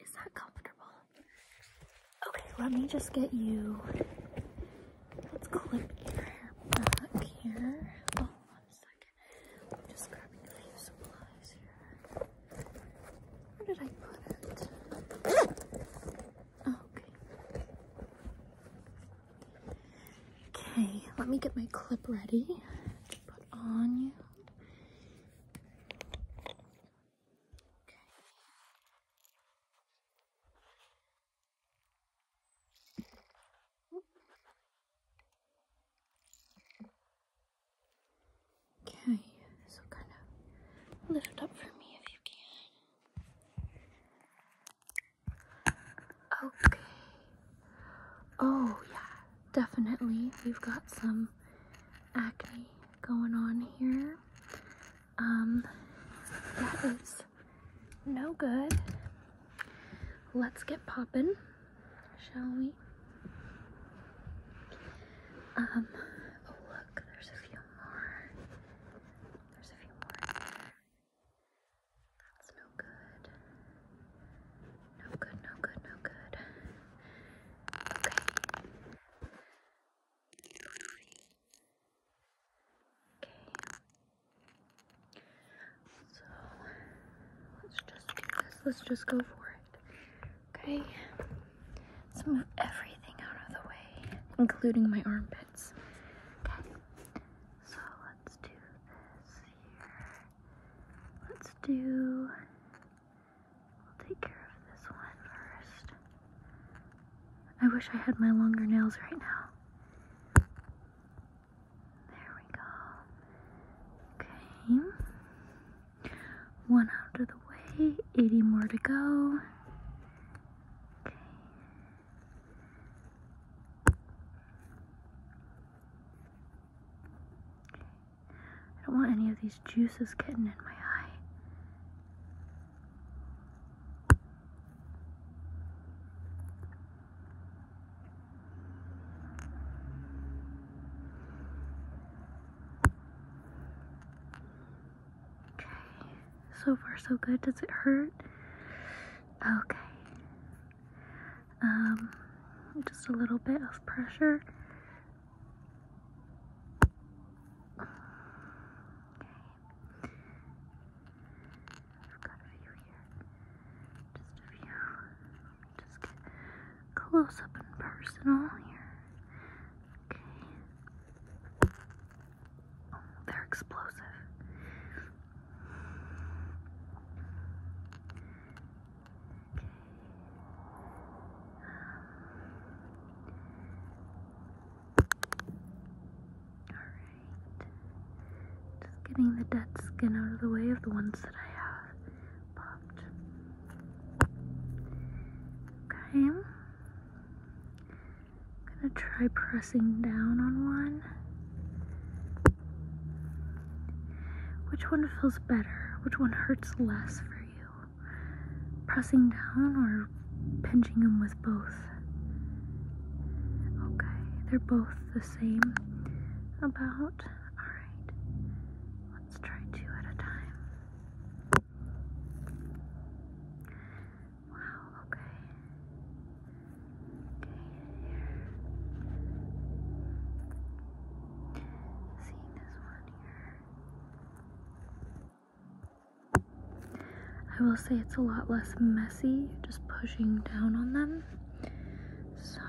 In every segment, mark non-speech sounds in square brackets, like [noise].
Is that comfortable? Okay, let me just get you. Let's clip your hair back here. Oh, just grabbing a few supplies here. Where did I put it? Okay. Okay, let me get my clip ready put on you. Okay. Okay, so kind of lift up for me if you can. Okay. Oh, yeah definitely we've got some acne going on here. Um, that is no good. Let's get popping, shall we? Um, oh look, there's a few more. There's a few more That's no good. No good, no good, no good. Okay. Okay. So let's just do this. Let's just go for it. Okay. Let's move everything out of the way, including my armpits. Okay. So let's do this here. Let's do I'll take care of this one first. I wish I had my longer nails right now. There we go. Okay. One out of the way, 80 more to go. Okay. I don't want any of these juices getting in my eye. Okay, so far so good. Does it hurt? Okay. Um, just a little bit of pressure. Okay. I've got a here. Just a few. Just get close up and personal here. Okay. Oh, they're explosive. Alright. getting the dead skin out of the way of the ones that I have popped. Okay. I'm gonna try pressing down on one. Which one feels better? Which one hurts less for you? Pressing down or pinching them with both? Okay, they're both the same. About. Alright. Let's try two at a time. Wow, okay. Okay, here. I will say it's a lot less messy, just pushing down on them. So,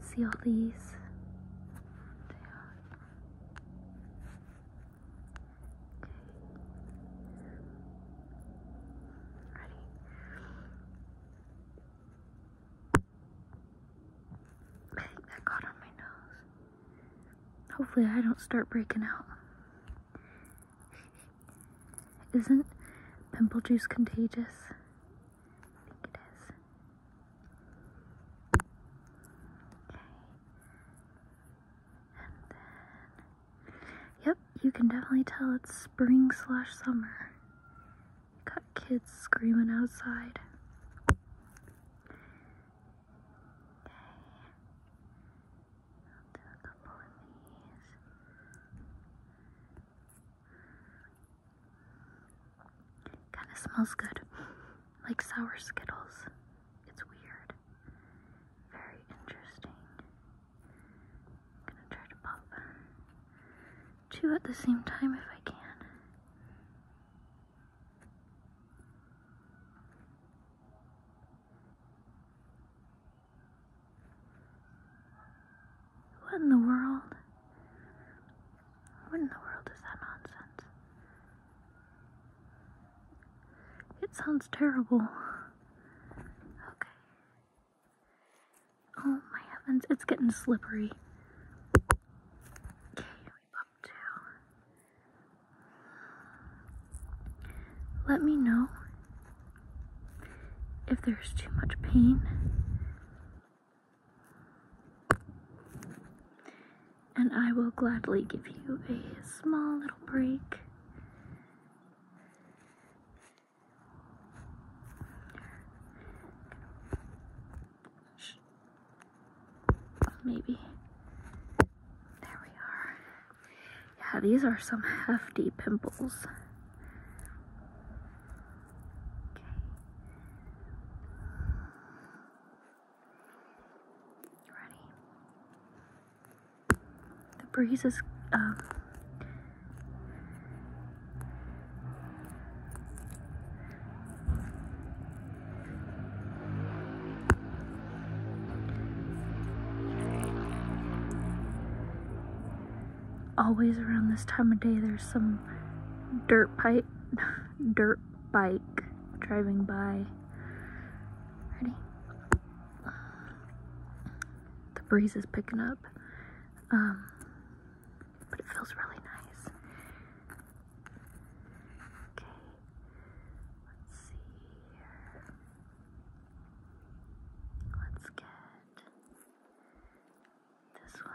see all these. Okay. Ready. I think that got on my nose. Hopefully, I don't start breaking out. Isn't pimple juice contagious? I think it is. Okay. Yep, you can definitely tell it's spring slash summer. Got kids screaming outside. Kind of smells good. Like sour Skittles. It's weird. Very interesting gonna try to pop two at the same time if I can. What in the world? What in the world is that nonsense? It sounds terrible. Okay. Oh my heavens, it's getting slippery. Let me know if there's too much pain. And I will gladly give you a small little break. Maybe. There we are. Yeah, these are some hefty pimples. Okay. ready? The breeze is um, always around this time of day there's some dirt pipe [laughs] dirt bike driving by ready the breeze is picking up. Um, but it feels really nice. Okay, let's see here. Let's get this one.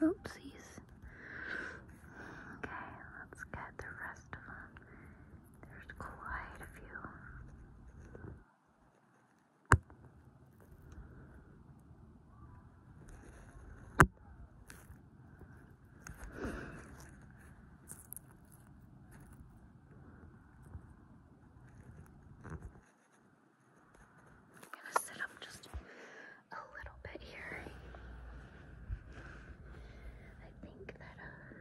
Oopsies. Okay, let's get the rest of them. There's quite a few. I'm gonna sit up just a little bit here. I think that uh,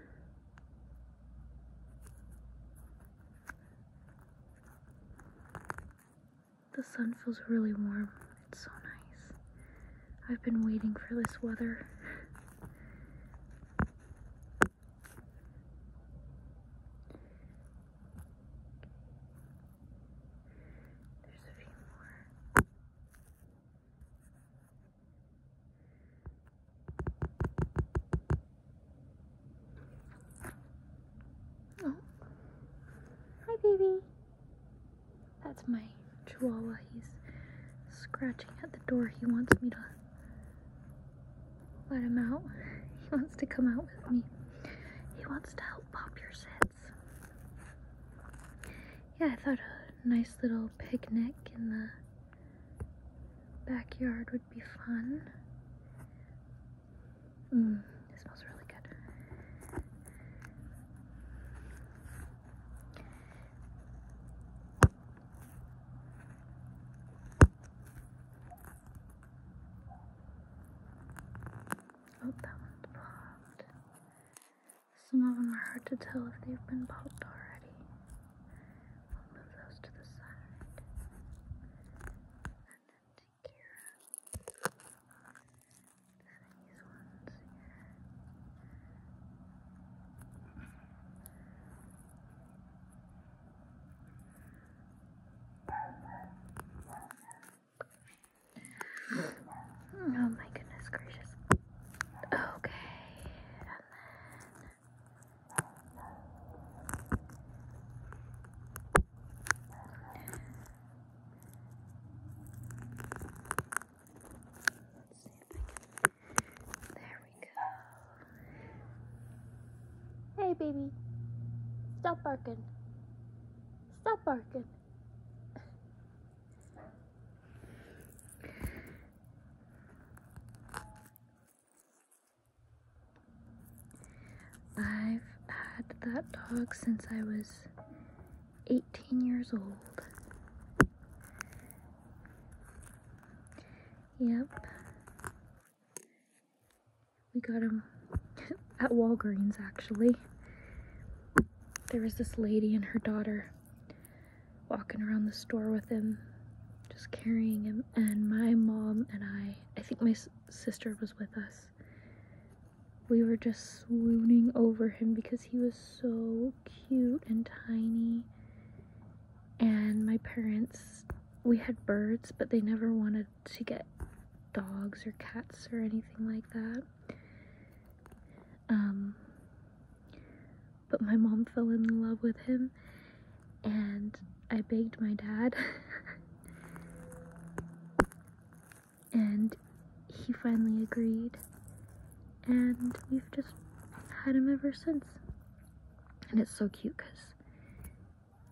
the sun feels really warm. It's so nice. I've been waiting for this weather. There's a few more. Oh. Hi, baby. That's my chihuahua. He's scratching at the door. He wants me to let him out. [laughs] He wants to come out with me. He wants to help pop your sets. Yeah, I thought a nice little picnic in the backyard would be fun. Mmm, it smells really good. Oh, that one's popped. Some of them are hard to tell if they've been popped already. move those to the side. And then take care of these ones Oh my goodness gracious. Okay. And then there we go. Hey, baby. Stop barking. Stop barking. I've had that dog since I was 18 years old. Yep. We got him [laughs] at Walgreens actually. There was this lady and her daughter walking around the store with him, just carrying him, and my mom and I, I think my sister was with us, we were just swooning over him because he was so cute and tiny. And my parents, we had birds, but they never wanted to get dogs or cats or anything like that. Um, but my mom fell in love with him and I begged my dad [laughs] and he finally agreed and we've just had him ever since and it's so cute because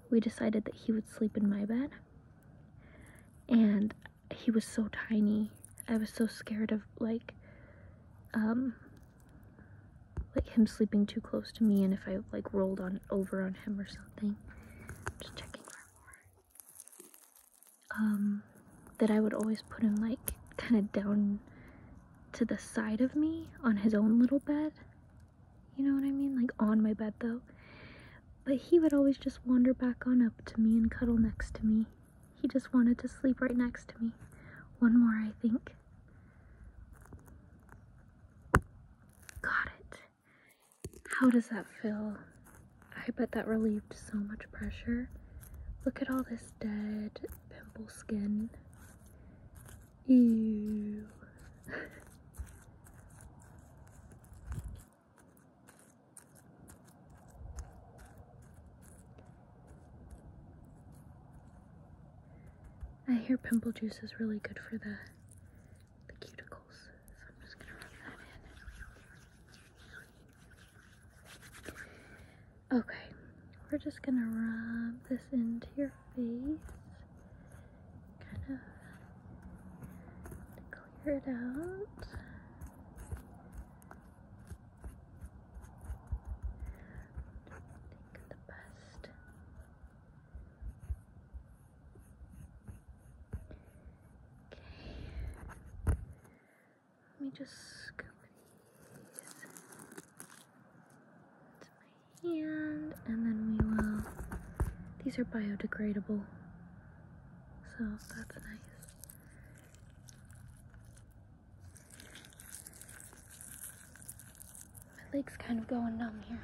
we decided that he would sleep in my bed and he was so tiny I was so scared of like um like him sleeping too close to me and if I like rolled on over on him or something um, that I would always put him like kind of down to the side of me on his own little bed. You know what I mean? Like on my bed though. But he would always just wander back on up to me and cuddle next to me. He just wanted to sleep right next to me. One more, I think. Got it. How does that feel? I bet that relieved so much pressure. Look at all this dead pimple skin. Ew. [laughs] I hear pimple juice is really good for the the cuticles. Okay, we're just gonna rub this into your face. Kind of clear it out. Think the best. Okay. Let me just scoop these into my hand and then we will. These are biodegradable, so that's nice. My leg's kind of going numb here.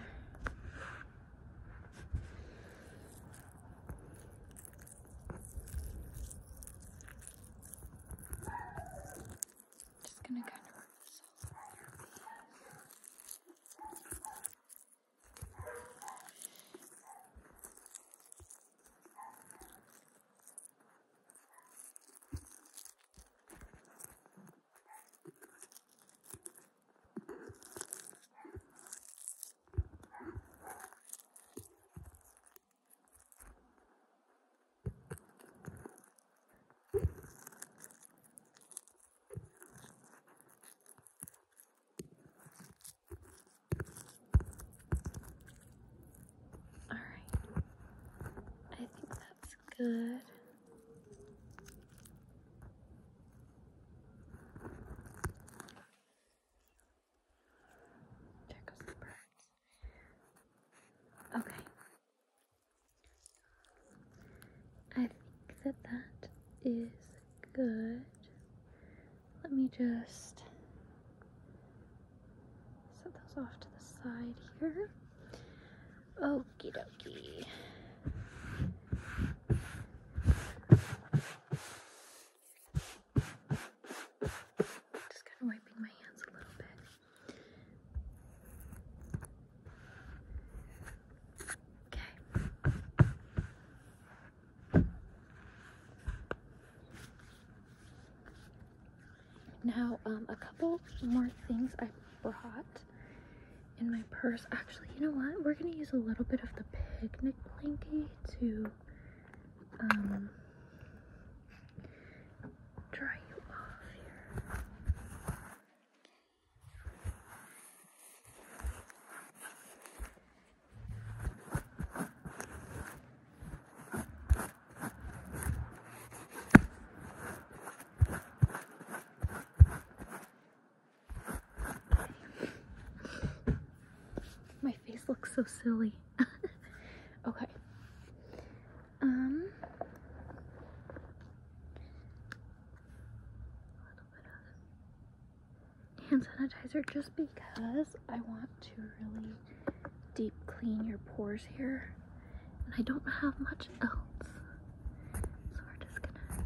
Just gonna kind of rub this all over your face. All right, I think that's good. Okay. I think that that is good. Let me just set those off to the side here. Okie dokie. Just kind of wiping my hands a little bit. Okay. Now, um, a couple more things I brought in my purse. Actually, you know what? We're gonna use a little bit of the picnic blanket to um dry you off here. My face looks so silly. [laughs] okay. Um hand sanitizer just because I want to really deep clean your pores here. And I don't have much else. So we're just gonna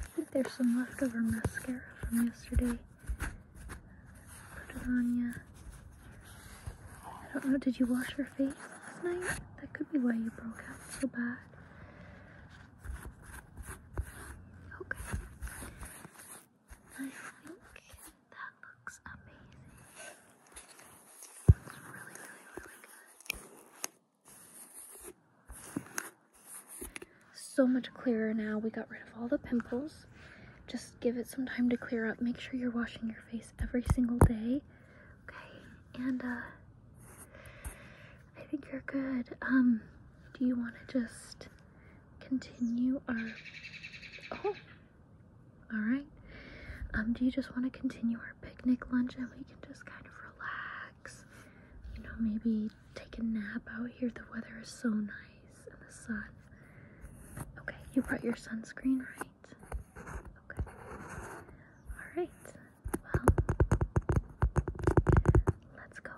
I think there's some leftover mascara from yesterday. Put it on you. I don't know, did you wash your face last night? That could be why you broke out so bad. Okay. I think that looks amazing. Looks really, really, really good. So much clearer now. We got rid of all the pimples. Just give it some time to clear up. Make sure you're washing your face every single day. Okay, and uh, I think you're good. Um, do you want to just continue our? Oh. Alright? Um, do you just want to continue our picnic lunch and we can just kind of relax? You know, maybe take a nap out here. The weather is so nice and the sun. Okay, you brought your sunscreen, right? Okay. Alright. Well, let's go.